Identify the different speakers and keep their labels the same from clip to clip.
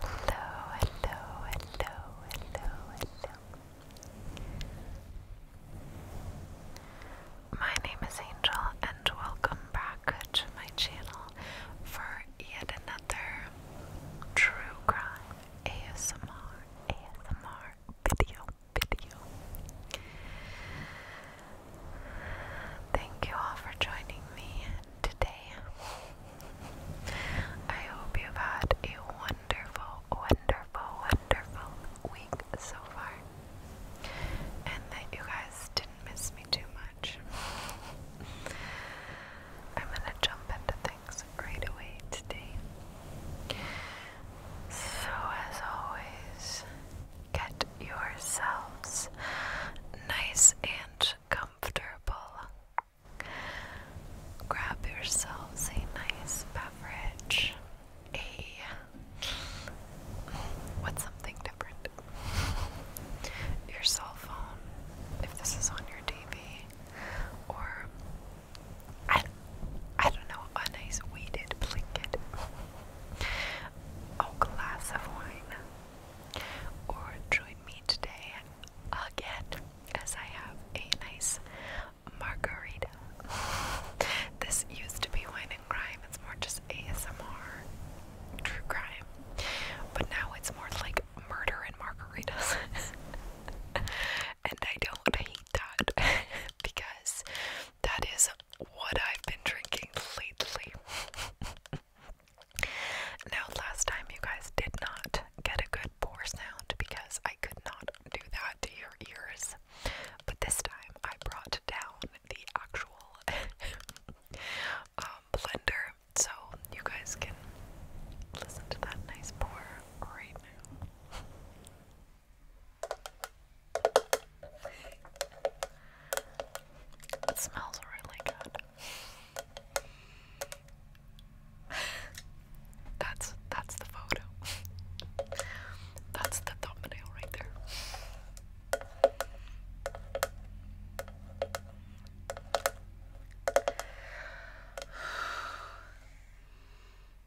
Speaker 1: hello, hello, hello, hello. My name is Angel, and welcome back to my channel for yet another true crime ASMR ASMR video video. Thank you all for joining me today. I hope you've had a wonderful, wonderful, wonderful week so far, and that you guys didn't miss me too much. I'm gonna jump into things right away today. So, as always, get yourselves nice and comfortable. Grab yourselves a nice beverage, a what's something different? Your cell phone, if this is on your TV, or I, I don't know, a nice weighted blanket, a glass of wine, or join me today again as I have a nice margarita. this used to be wine and crime, it's more just ASMR, true crime, but now it's more like murder and margaritas. and I don't hate that because that is what I've been drinking lately. now, last time you guys did not get a good pour sound because I could not do that to your ears, but this time I brought down the actual um, blender so you guys can listen to that nice pour right now. It smells really good. that's that's the photo. that's the thumbnail right there.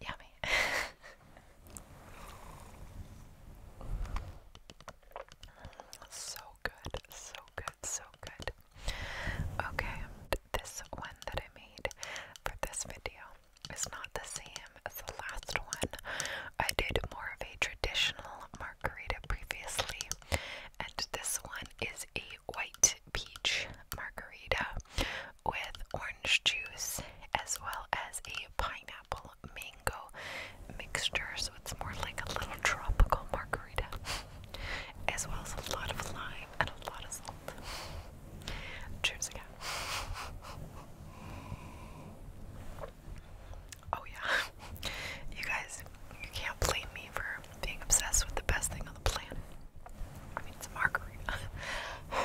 Speaker 1: Yummy. so good, so good, so good. Okay, this one that I made for this video is not the same as the last one. I did more of a traditional margarita previously, and this one is a white peach margarita with orange juice as well as a pineapple mango mixture. So it's more like a little tropical margarita, as well as a lot of lime and a lot of salt. Cheers Oh, yeah. You guys, can't blame me for being obsessed with the best thing on the planet. I mean, it's a margarita.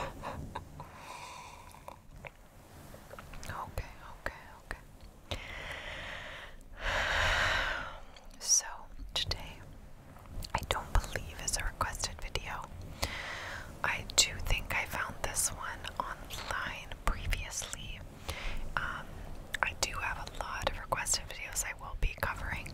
Speaker 1: okay, okay, okay. So, today, I don't believe is a requested video. I do think I found this one online previously, um, I do have a lot of requested videos I will be covering,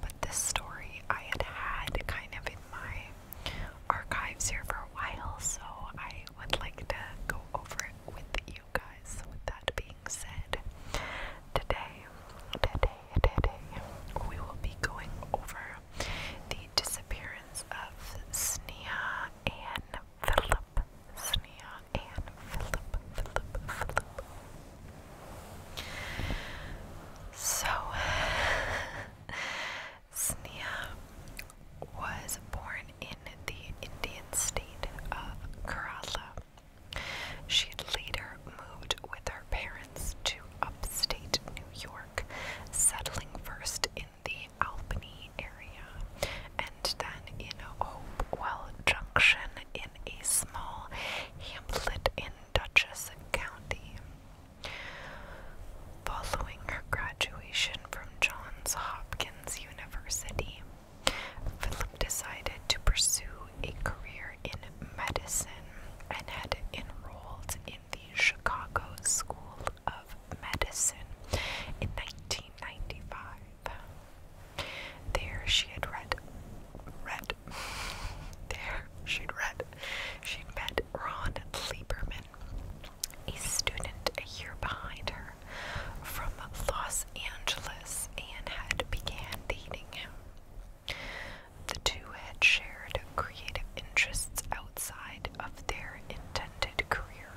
Speaker 1: but this story I had had kind of in my archives here for a while, so I would like to go over it with you guys. So with that being said, today, today, today, we will be going over the disappearance of Snia and Philip. Philip, and Philip, Philip, Philip. So, Snia was born in the Indian state of Kerala. She later moved with her parents to upstate New York, settling first in the Albany area Lindstein in Hopewell Junction in a small hamlet in Dutchess County. Following her graduation from Johns Hopkins University, Philip decided to pursue a career in medicine and had enrolled in the Chicago School of Medicine in 1995. There she had read, read, there she'd read, she'd met Ron Lieberman, a student a year behind her from Los Angeles, and had began dating him. The two had shared creative interests outside of their intended career.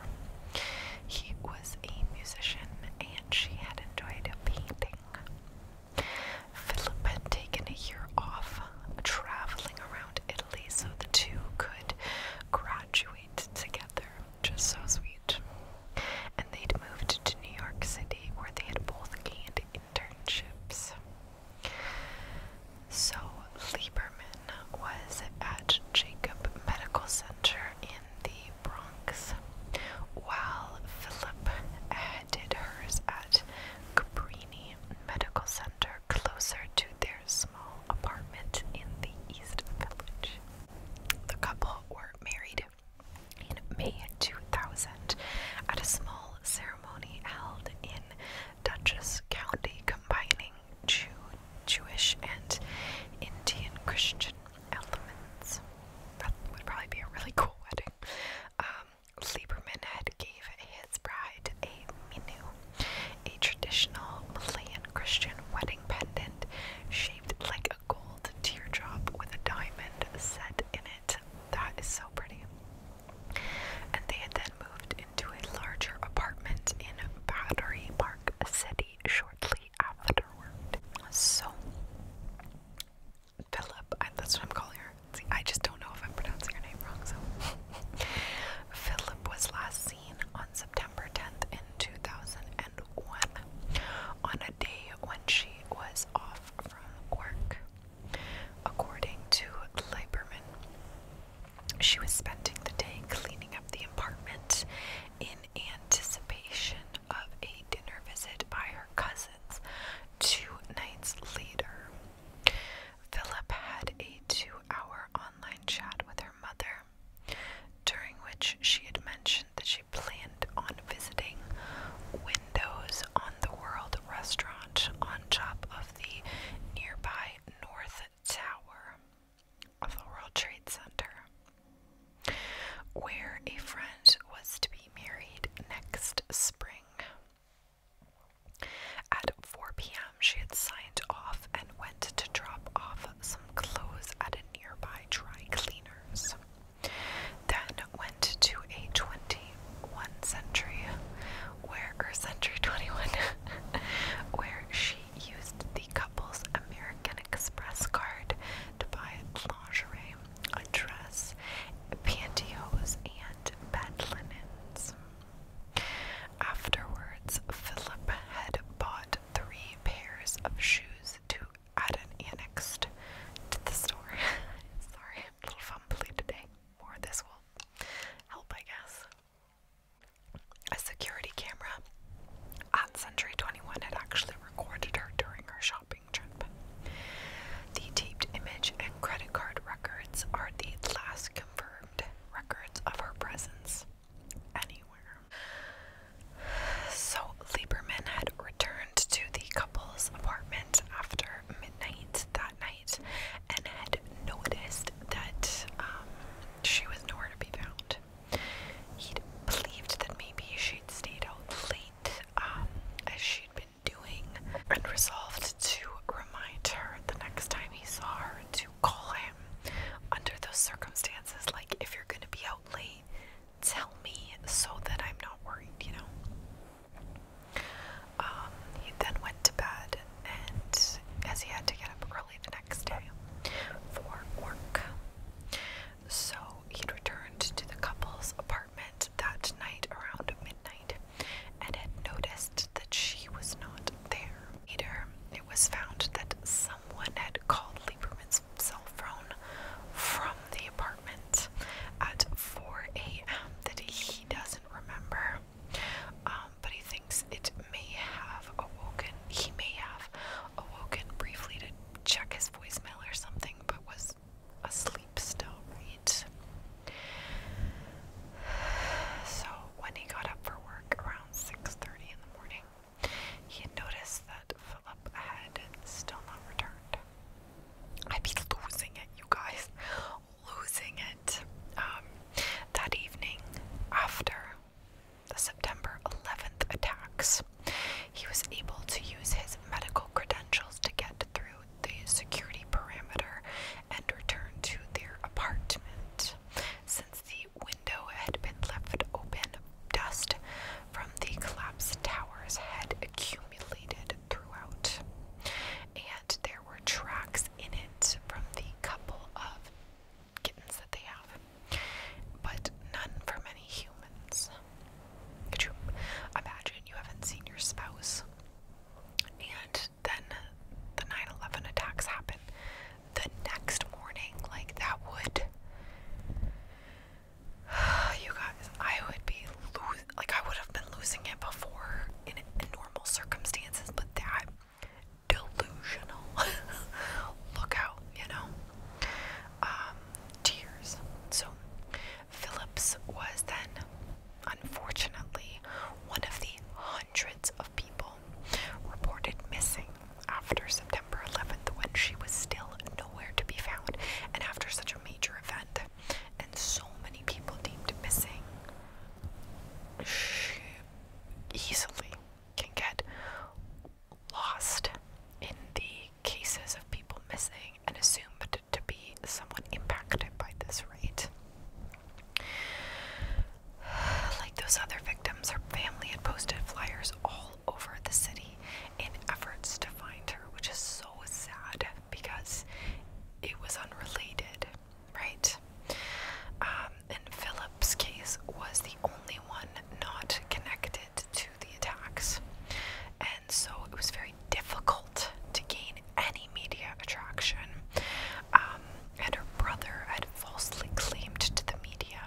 Speaker 1: He was a musician and she had enjoyed painting. Philip had taken a year off traveling around Italy so the two could graduate together. Just so sweet. And they'd moved to New York City where they had both gained internships. So Lieberman was at Jacob Medical Center in in the Bronx, while Philip did hers at Cabrini Medical Center, closer to their small apartment in the East Village. The couple were married in May 2000 at a small ceremony held in Dutchess County, combining Jew, Jewish and Indian Christian elements. That would probably be a really cool wedding. Um, Lieberman had gave his bride a minu, a traditional Malayan Christian wedding pendant shaped like a gold teardrop with a diamond set in it. That is so pretty. And they had then moved into a larger apartment in Battery Park City shortly so, Philip, I, that's what I'm calling her. I just don't know if I'm pronouncing her name wrong, so. Philip was last seen on September 10th in 2001 on a day when she was off from work. According to Lieberman, she was spending the day cleaning up the apartment in anticipation of a dinner visit by her cousins two nights later. Philip had a two hour online chat with her mother, during which she had mentioned that she planned on visiting Windows on the World restaurant on top of the nearby North Tower of the World Trade Center, where a friend was to be married next spring. At 4 p.m., she had signed off and went to drop off some clothes at a nearby dry cleaner's. Then went to a 21 century, where century 21, where she used the couple's American Express card to buy lingerie, a dress, pantyhose, and bed linens. Afterwards, Philip had bought three pairs of shoes to add an annex to the store. Sorry, a little fumbly today. More this will help, I guess. A security camera at Century 21 had actually recorded her during her shopping trip. The taped image and credit card records are the last confirmed records of her presence anywhere. So Lieberman had returned to the couple's apartment after midnight that night and had noticed that um, she was nowhere to be found he believed that maybe she'd stayed out late, um, as she'd been doing, and resolved to remind her the next time he saw her to call him. Under those circumstances, like if you're gonna be out late, tell me so that I'm not worried, you know. Um, he then went to bed, and as he had to get up early the next day for work, so he'd returned to the couple's apartment that night around midnight and had noticed that she was not there. Later, it was found that someone had called Lieberman's cell phone from the apartment at 4 a.m. that he doesn't remember, um, but he thinks it may have awoken. He may have awoken briefly to check his voicemail or something, but was asleep still, right? So when he got up for work around 6:30 in the morning, he had noticed that Philip had still not returned. I'd be losing it, you guys, losing it. Um, that evening, after the September 11th attacks. He was able to use his medical credentials to get through the security perimeter and return to their apartment. Since the window had been left open, dust from the collapsed towers had accumulated throughout, and there were tracks in it from the couple of kittens that they have, but none for many humans. Could you imagine you haven't seen your spouse? And then the 9 11 attacks happen the next morning. Like, that would. you guys, I would be losing. Like, I would have been losing it before in, in normal circumstances, but that delusional. Look out, you know. Um, tears. So Phillips was then, unfortunately, one of the hundreds of people reported missing after September 11th when she was still nowhere to be found, and after such a major event, and so many people deemed missing, she easily can get lost in the cases of people missing and assumed to be somewhat impacted by this rate. Like those other victims, her family had posted flyers all over the city in efforts to find her, which is so sad because it was unrelated, right? Uh, um, and Philip's case, was the only one not connected to the attacks. And so it was very difficult to gain any media attraction. Um, and her brother had falsely claimed to the media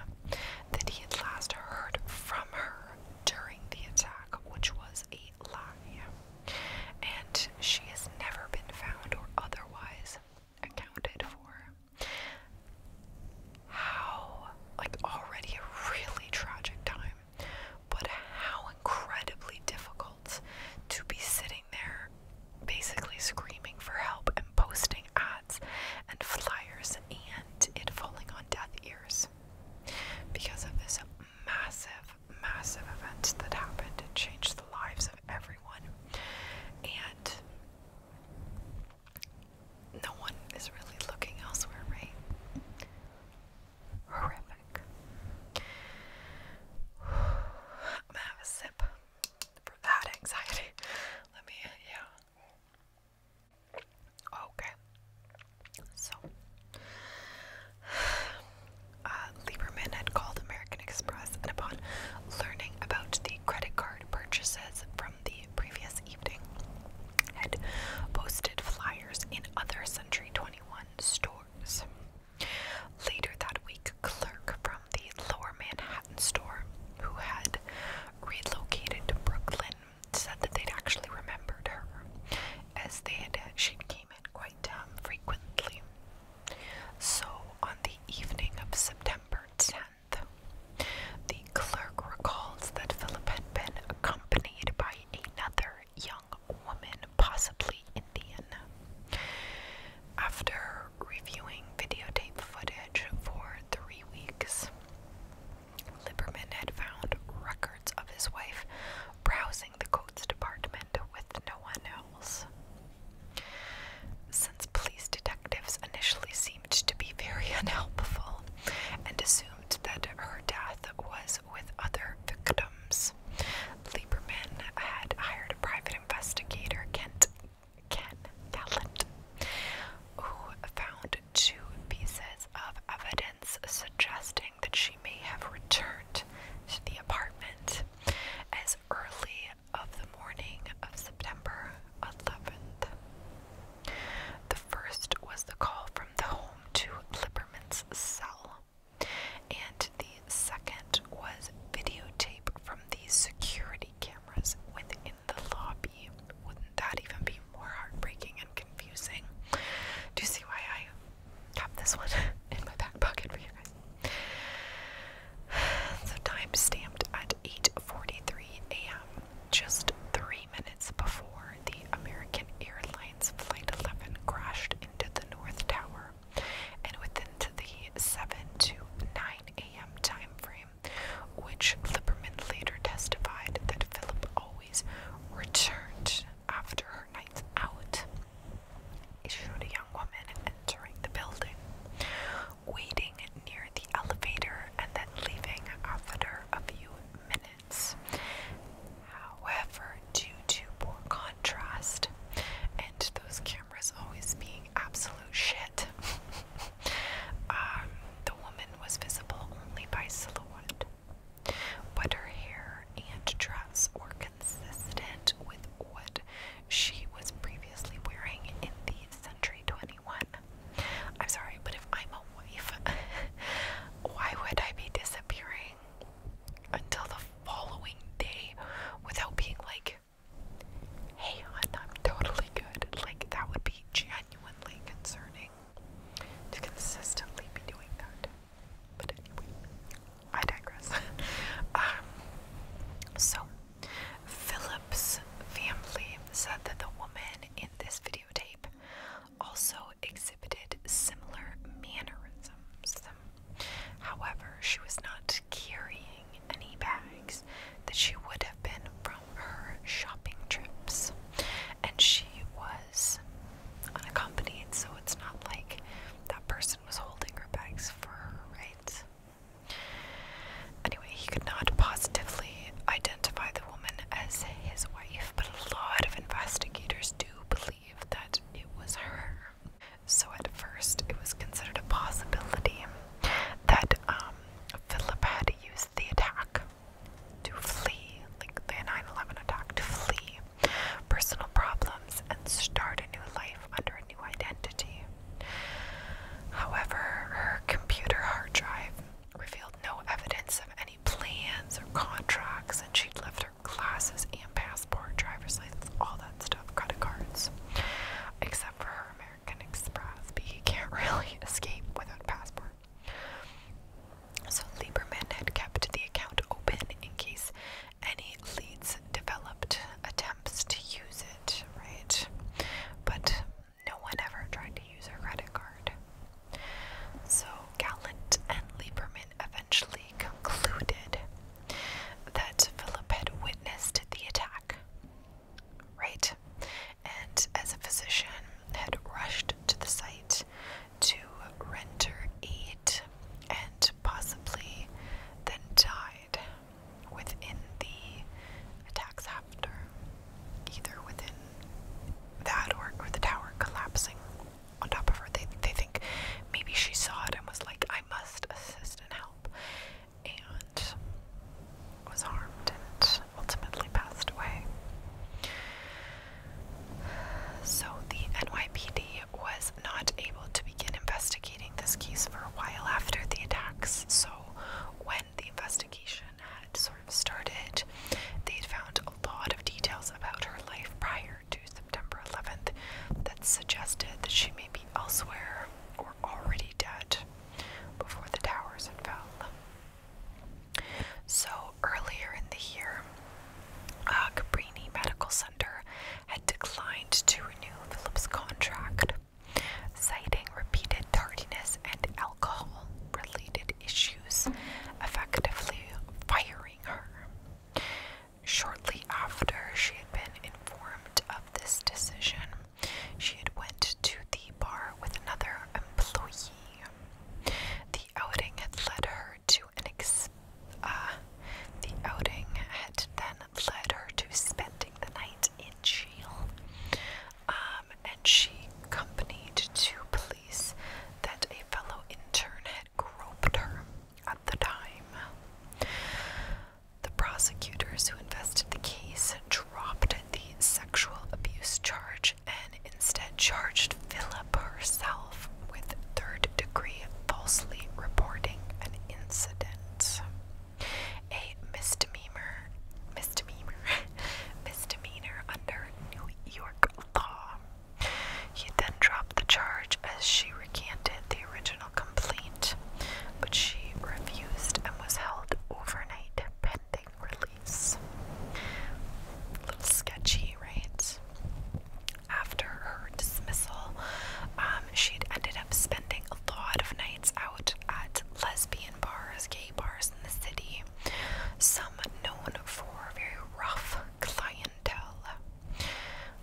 Speaker 1: that he had last heard from her during the attack, which was a lie. And she has never been found or otherwise accounted for. How, like, already a really tragic time, but how incredibly difficult to be sitting there basically screaming for help and posting ads and flyers and it falling on deaf ears because of this massive, massive event that happened. and changed the lives of everyone. And no one is really looking elsewhere, right? Horrific. I'm gonna have a sip for that anxiety. Let me, yeah. Okay. So, uh, Lieberman had called American Express, and upon learning about the credit card purchases from the previous evening, had posted flyers in other Century 21 stores. Later that week, clerk from the Lower Manhattan store, who had relocated to Brooklyn, said that they'd actually remembered her, as they had she came in quite um, frequently. So on the evening of September 10 the clerk recalls that Philip had been accompanied by another young woman, possibly Indian. After reviewing videotape footage for three weeks, Liberman had found records of his wife browsing the coats department with no one else. Since police detectives initially seemed to be very unhelpful and assumed that her death was with other victims, Lieberman had hired a private investigator, Kent Kent Gallant, who found two pieces of evidence suggesting that she may have returned to the apartment as early of the morning of September 11th. The first was the call from the home to Lipperman's cell, and the second was videotape from the security cameras within the lobby. Wouldn't that even be more heartbreaking and confusing? Do you see why I kept this one in my back pocket for you guys? The time stamped at 8:43 a.m., just three minutes before the American Airlines Flight 11 crashed into the North Tower, and within the 7 to 9 a.m. time frame, which Liberman later testified that Philip always returned after her nights out, issued a young woman entering the building waiting near the elevator and then leaving after a few minutes. However, due to poor contrast and those cameras always being absolute shit, um, the woman was visible only by silhouette. But her hair and dress were consistent with what she was previously wearing in the Century 21. I'm sorry, but if I'm a wife, why would I be disappearing until the following day without being like, hey, hon, I'm totally good? Like, that would be genuinely concerning to consistently be doing that. But anyway, I digress. Um, so Phillips' family said that the woman in this videotape also exhibited similar mannerisms. However, she was not carrying any bags that she would have been from her shopping trips, and she was unaccompanied, so it's not like that person was holding her bags for her, right? Anyway, he could not positively identify the woman as his wife, but a lot of investigators do believe that it was her. So at first, it was considered a possibility that um, Philip had used the attack to flee, like the 9/11 attack, to flee personal problems and start a new life under new identity. However, her computer hard drive revealed no evidence of any plans or contracts, and she'd left her classes and passport, driver's license, all that stuff, credit cards, except for her American Express, but you can't really escape without a passport. So Lieberman had kept the account open in case any leads developed attempts to use it right? But no one ever tried to use her credit card. So Gallant and Lieberman eventually concluded that Philip had witnessed the attack, right? And as a physician, had rushed to the site to render aid and possibly then died, within the attacks after, either within that or, or the tower collapsing on top of her. They, they think maybe she saw it and was like, I must assist and help, and was harmed and ultimately passed away. So the NYPD was not able to begin investigating investigating this case for a while after the attacks. So, when the investigation had sort of started, they had found a lot of details about her life prior to September 11th that suggested that she may be elsewhere or already dead before the towers had fell. So, earlier in the year, uh, Cabrini Medical Center had declined to renew Philip's contract citing repeated tardiness and alcohol related issues, effectively firing her. Shortly after she had been informed of this decision, she had went to the bar with another employee. The outing had led her to an ex uh, the outing had then led her to spending the night in in um, and she accompanied two police that a fellow intern had groped her at the time. The prosecutors who invested the case dropped the sexual abuse charge and instead charged Philip herself with third degree falsely reporting an incident a misdemeanor, misdemeanor, misdemeanor under New York law. He then dropped the charge as she recanted the original complaint, but she refused and was held overnight pending release. A little sketchy, right? After her dismissal, um, she ended up spending a lot of nights out at lesbian bars, gay bars in the city, some known for very rough clientele.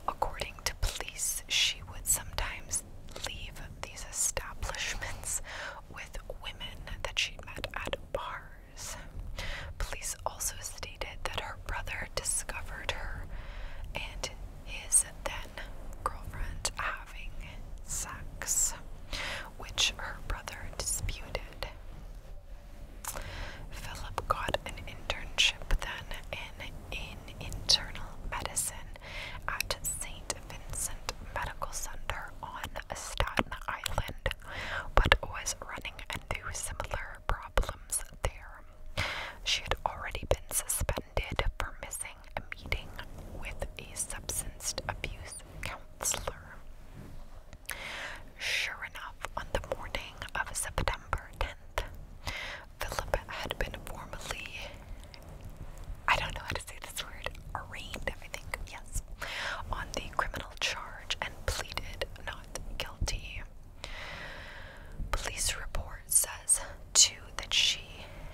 Speaker 1: According to police, she would sometimes leave these establishments with women that she met at bars. Police also stated that her brother discovered her and his then girlfriend having sex, which her brother disputed. Philip got an internship then in, in internal medicine at St. Vincent Medical Center on Staten Island, but was running into similar problems there. She had already been suspended for missing a meeting with a substance abuse counselor. Sure enough, on the morning of September 10th, Philip had been formally, I don't know how to say this word, arraigned, I think, yes, on the criminal charge and pleaded not guilty. Police report says Two, that she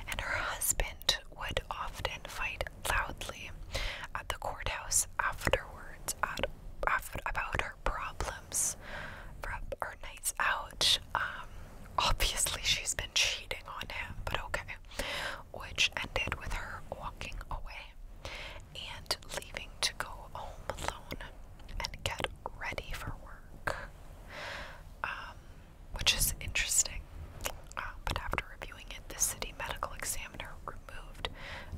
Speaker 1: and her husband would often fight loudly at the courthouse afterwards at, after, about her problems from her nights out. Um, obviously, she's been cheating on him, but okay. Which ended with her walking away and leaving to go home alone and get ready for work. Um, which is interesting. Uh, but after reviewing it, the city medical examiner removed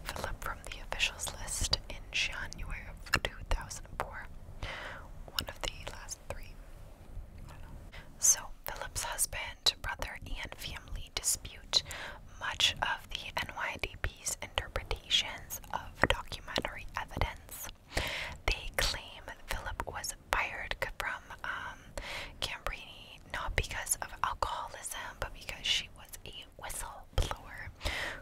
Speaker 1: Philip from the officials list in January of 2004, one of the last three. So, Philip's husband, brother, and family dispute much of the NYDP's interpretations of documentary evidence. They claim Philip was fired from um, Cambrini not because of alcoholism, but because she was a whistleblower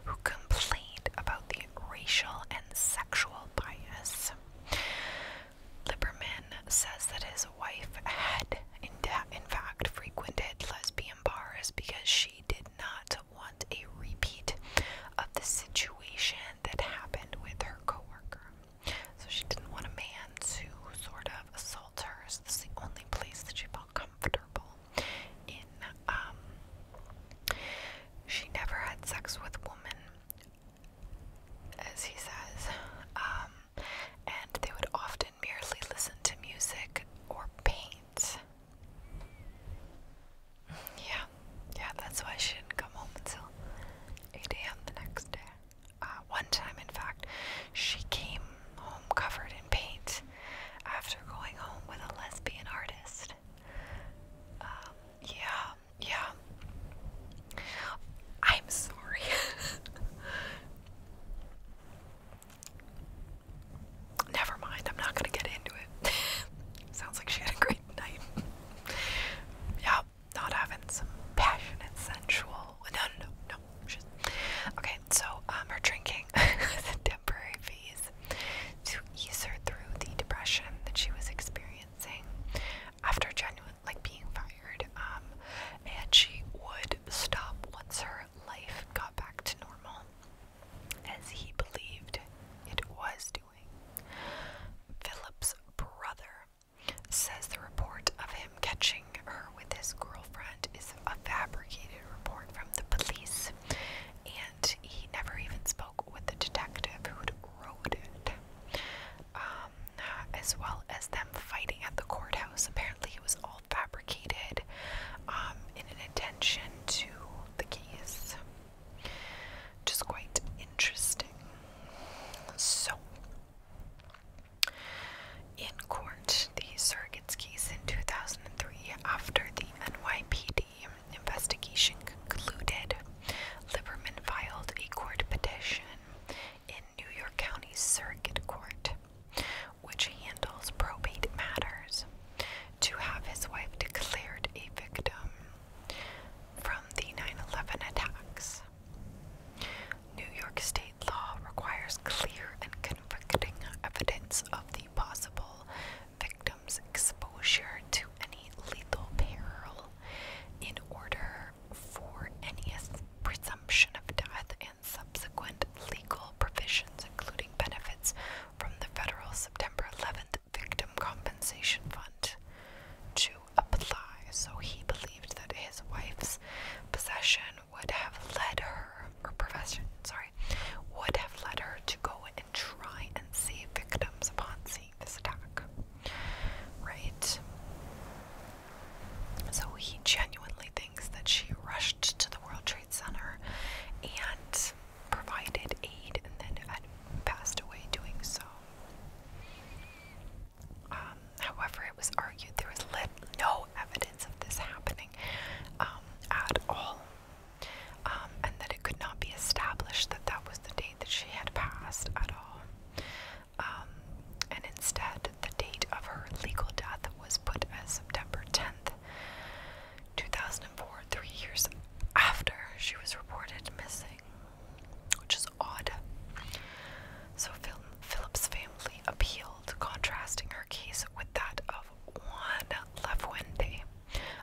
Speaker 1: who complained about the racial and sexual bias. Liberman says that his wife had, in fact, frequented lesbian bars because she did not want a repeat of the situation that happened with her coworker. So she didn't want a man to sort of assault her. So this is the only place that she felt comfortable in. Um, she never had sex with women, as he says. Um, and they would often merely listen to music or paint. Yeah, yeah, that's why she didn't come home until 8 a.m. the next day. Uh, one time, in fact, she came home covered in paint after going home with a lesbian artist. Um, yeah, yeah. I'm sorry. Never mind, I'm not gonna get into it. Sounds like she had a great night, night. Yeah, not having some passionate, sensual. No, no, no, no. She's, okay, so um, her drinking was a temporary phase to ease her through the depression that she was experiencing after genuine, like being fired. Um, and she would stop once her life got back to normal, as he believed it was Philip's brother says the report of him catching her with his girlfriend is a fabricated report from the police, and he never even spoke with the detective who'd wrote it. Um, as well as them fighting at the courthouse. Apparently, it was all fabricated um, in an attention to the case which is quite interesting. So, in court, the surrogate's case in 2003, after the NYPD investigation concluded, Liberman filed a court petition in New York County Circuit Court, which handles probate matters, to have his wife declared a victim from the 9 11 attacks. New York state law requires clear and convicting evidence of the possible victim's exposure to any lethal peril in order for any presumption of death and subsequent legal provisions, including benefits from the federal September 11th Victim Compensation Fund to apply. So he believed that his wife's possession would have led her, or profession, sorry, would have led her to go and try and save victims upon seeing this attack. Right? So he genuinely thinks that she rushed to the World Trade Center and provided aid and then passed away doing so. Um, however, it was argued there was lit- no evidence of this happening um, at all, um, and that it could not be established that that was the date that she had passed at all. and instead, the date of her legal death was put as September 10th. 2004, three years after she was reported missing, which is odd. So Philip's family appealed, contrasting her case with that of Juan Lafuente,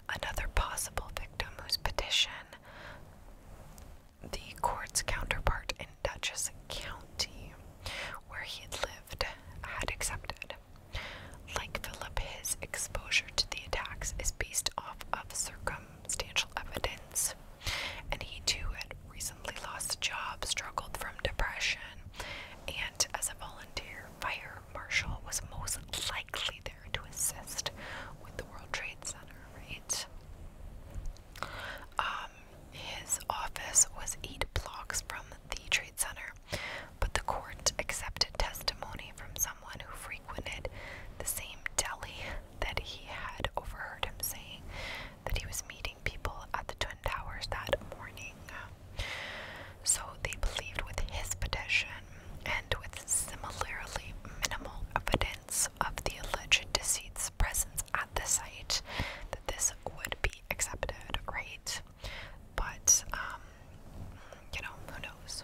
Speaker 1: another possible victim whose petition the court's counterpart in Dutchess County, where he had lived, had accepted. Like Philip, his exposure to the attacks is based off of circumstantial evidence, and he too had recently lost a job, struggled from depression, and as a volunteer fire marshal was most likely there to assist with the World Trade Center, right? Um, his office was eight blocks from the Trade Center, but the court accepted testimony from someone who frequented the same deli that he had overheard him saying that he was meeting people at the Twin Towers that morning. So they believed with his petition and with similarly minimal evidence of the alleged deceased's presence at the site that this would be accepted, right? But, um, you know, who knows?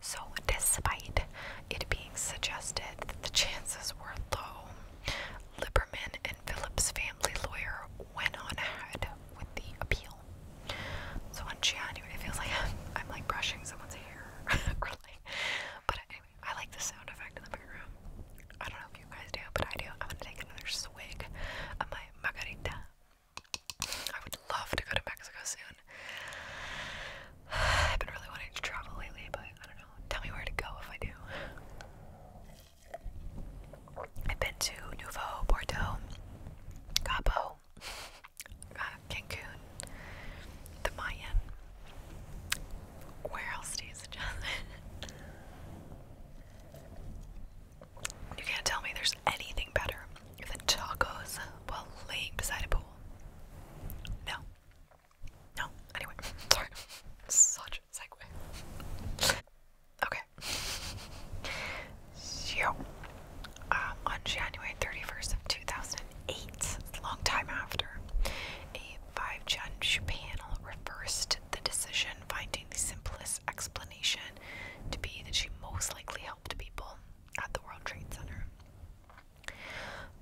Speaker 1: So, despite it being suggested that the chances were low, Liberman and Phillips' family lawyer went on ahead with the appeal. So on January, it feels like I'm, like brushing someone's hair, or but anyway, I like the sound effect in the background. I don't know if you guys do, but I do. I'm gonna take another swig of my margarita. I would love to go to Mexico soon. I've been really wanting to travel lately, but I don't know. Tell me where to go if I do. I've been to Nuevo, Bordeaux, Cabo, uh, Cancun, the Mayan. Where else do you suggest? You can't tell me there's anything better than tacos while laying beside a pool. No. No. Anyway, sorry. Such a segue. Okay. So, uh, on January 31st of 2008, long time after, a five-judge panel reversed the decision, finding the simplest explanation to be that she most likely helped people at the World Trade Center.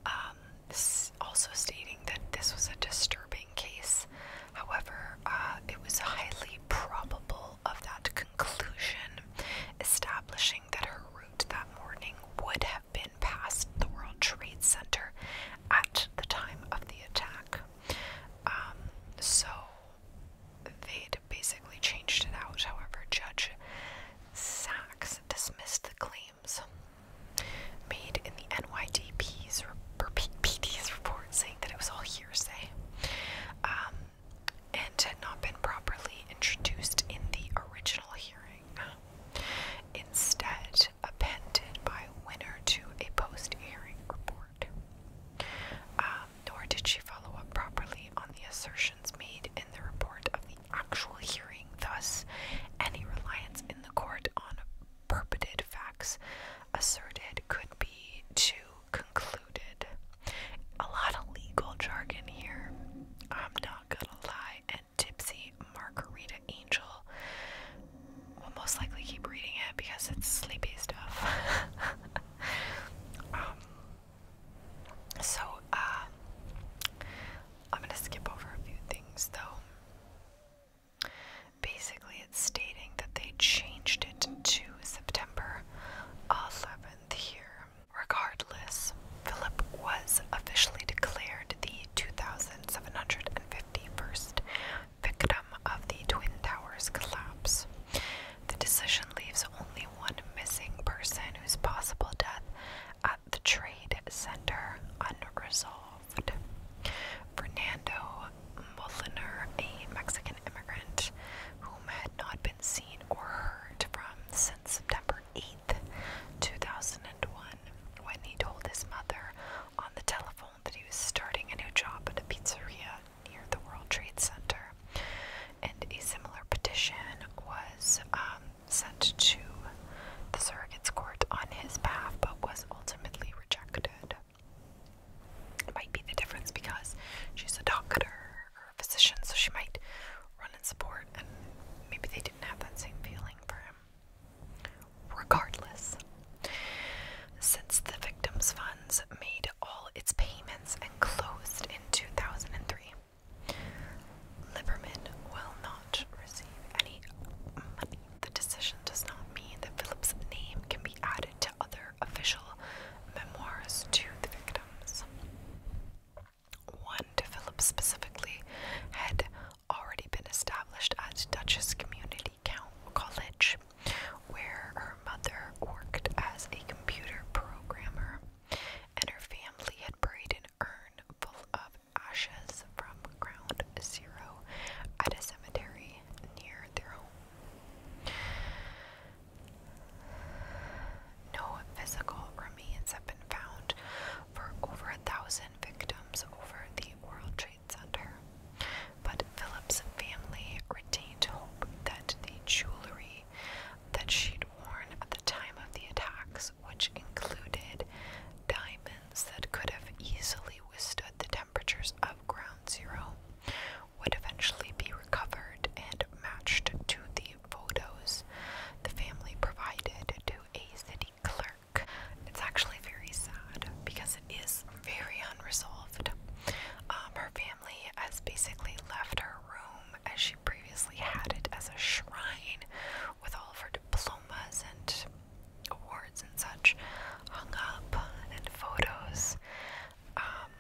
Speaker 1: Um, also stating that this was a disturbing case. However, uh, it was highly probable of that conclusion, establishing that her route that morning would have been past the World Trade Center at the time of the attack. Um, so They'd basically changed it out. However, Judge Sachs dismissed the claims made in the NYDP's report, saying that it was all hearsay um, and had not been properly introduced in the original hearing. Instead, appended by Winner to a post-hearing report. Um, nor did she follow up properly on the assertions made in the report of the actual hearing. Thus, any reliance in the court on purported facts asserted could be too concluded. A lot of legal jargon here. I'm not gonna lie. And Tipsy Margarita Angel will most likely keep reading it because it's sleepy stuff. Um, so, uh, I'm gonna skip over a few things though. Basically, it's stating that they changed it to September 11th here. Regardless, Philip was officially declared the 2,751st victim of the Twin Towers collapse. The decision leaves only one missing person whose possible death at the trade center unresolved. Fernando Moliner, a Mexican immigrant whom had not been seen or heard from since September 8th, 2001, when he told his mother on the telephone that he was starting a new job at a pizzeria near the World Trade Center and a similar petition was um, sent to the surrogate's court on his behalf but was ultimately rejected. It might be the difference because she's a doctor or a physician, so she might run in support, and maybe they didn't have that same feeling for him. Regardless, since the victim's fund made all its payments and closed in 2003. Liberman will not receive any money. The decision does not mean that Philip's name can be added to other official memoirs to the victims. One to Philip specifically had already been established at Duchess Community College where her mother worked as a computer programmer, and her family had buried an urn full of ashes from ground zero at a cemetery near their home. No physical remains have been found for over a thousand victims over the World Trade Center, but Phillips' family retained hope that the jewelry that she'd worn at the time of the attacks, which included diamonds that could have easily withstood the temperatures of ground zero, would eventually be recovered and matched to the photos the family provided to a city clerk. It's actually very sad because it is very unresolved. Um, her family family has basically left her room as she previously had it as a shrine with all of her diplomas and awards and such hung up and photos. Um,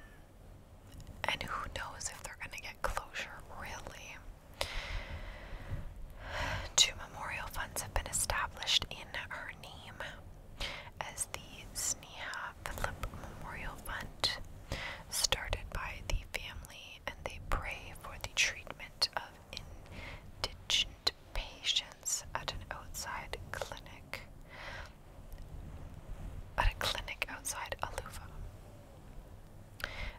Speaker 1: and who knows if they're going to get closure, really. Two memorial funds have been established in her name, as the Sneha Philip Memorial Fund, started by the family, and they pray for the treatment of indigent patients at an outside clinic. At a clinic outside Aluva.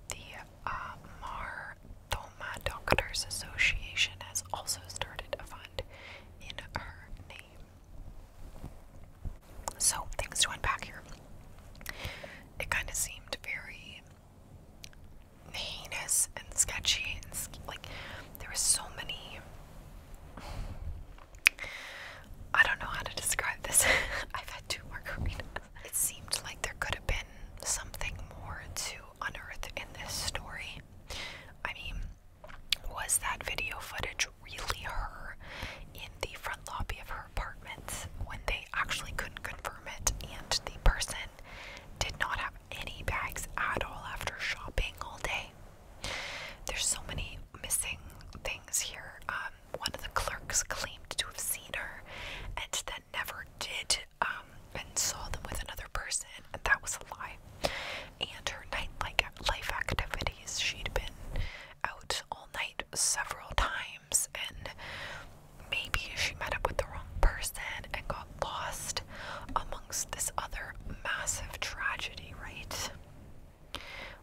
Speaker 1: The uh, Doctors Association has also started a fund in her name. So, things to unpack here. It kind of seemed very heinous and sketchy, and like there were so many. I don't know how to describe this. I've had two margaritas. It seemed like there could have been something more to unearth in this story. I mean, was that video footage really her in the front lobby of her apartment when they actually couldn't confirm it and the person did not have any bags at all after shopping all day. There's so many missing things here. Um, one of the clerks claimed to have seen her and then never did um, and saw them with another person, and that was a lie. And her nightlife life activities, she'd been out all night several times, and maybe she met up with the wrong person and got lost amongst this other massive tragedy, right?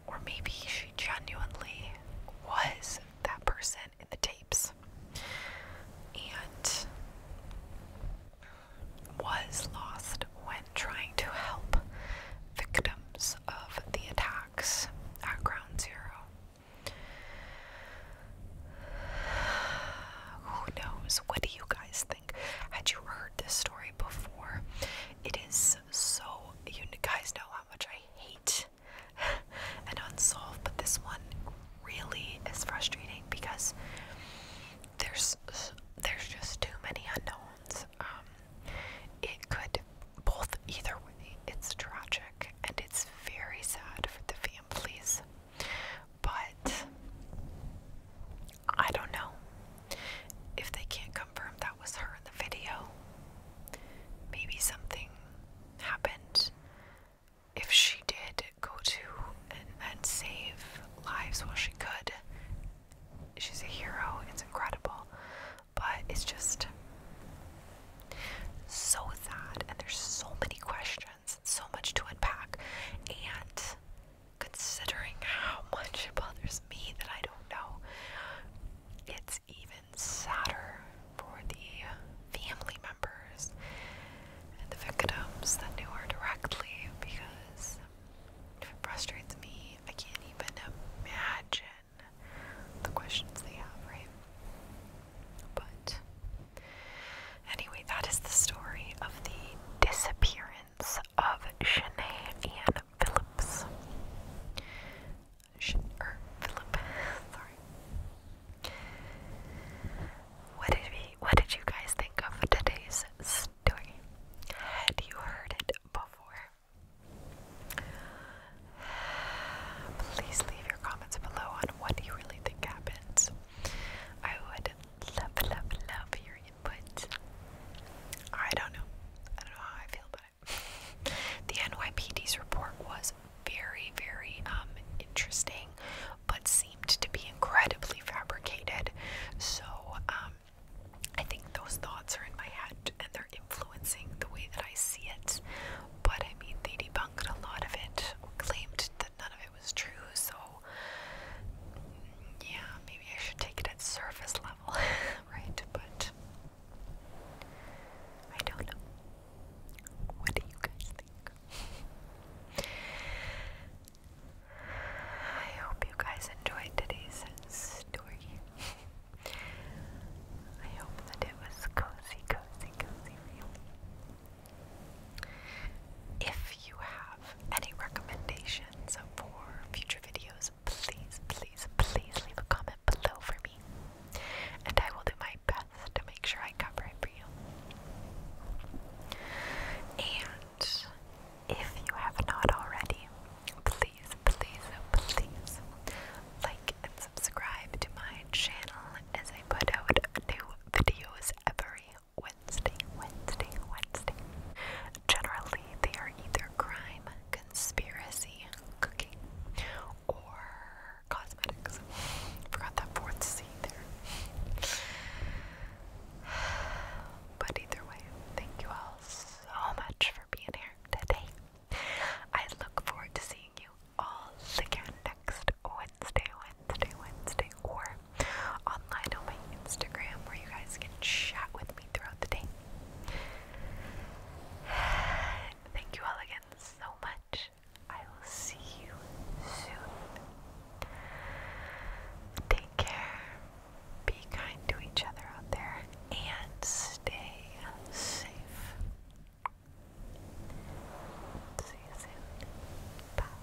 Speaker 1: Or maybe she genuinely was that person in the tapes and was lost when trying to help victims of the attacks at Ground Zero. Who knows? What do you guys think? Had you heard this story before? It is so. You guys know how much I hate and unsolved, but this one really is frustrating because there's there's just too many unknowns. Um, it could both either way. It's tragic and it's very sad for the families, but I don't know if they can't confirm that was her in the video. Maybe something happened. If she did go to and, and save lives while she could, she's a hero. It's incredible, but it's just so sad, and there's so many questions, and so much to unpack, and considering how much it bothers me that I don't know, it's even sadder for the family members and the victims that knew her directly because it frustrates me I can't even imagine the questions they have, right? But anyway, that is the story of the disappearance of Shanae Ann Phillips. Sh er, sorry. What did we? What did you guys think of today's story. Had you heard it before? Please leave your comments below on what you really think happens. I would love, love, love your input. I don't know. I don't know how I feel about it. The NYPD's report was very, very um interesting, but seemed to be incredibly fabricated. So um um, I think those thoughts are in my head and they're influencing the way that I see it. But I mean, they debunked a lot of it, claimed that none of it was true, so yeah, maybe I should take it at surface level, right? But I don't know. What do you guys think? I hope you guys enjoyed today's story. I hope that it was cozy, cozy, cozy for you. If you have any recommendations for future videos, please, please, please leave a comment below for me. And I will do my best to make sure I cover it for you. And if you have not already, please, please, please like and subscribe to my channel as I put out new videos every Wednesday, Wednesday, Wednesday. Generally, they are either crime, conspiracy, cooking, or cosmetics. Forgot that fourth C there. But either way, thank you all so much for being here today. I look forward to seeing you all again next Wednesday, Wednesday, Wednesday, or online on my Instagram where you guys can chat with me throughout the day. Thank you all again so much. I will see you soon. Take care. Be kind to each other out there and stay safe. See you soon. Bye.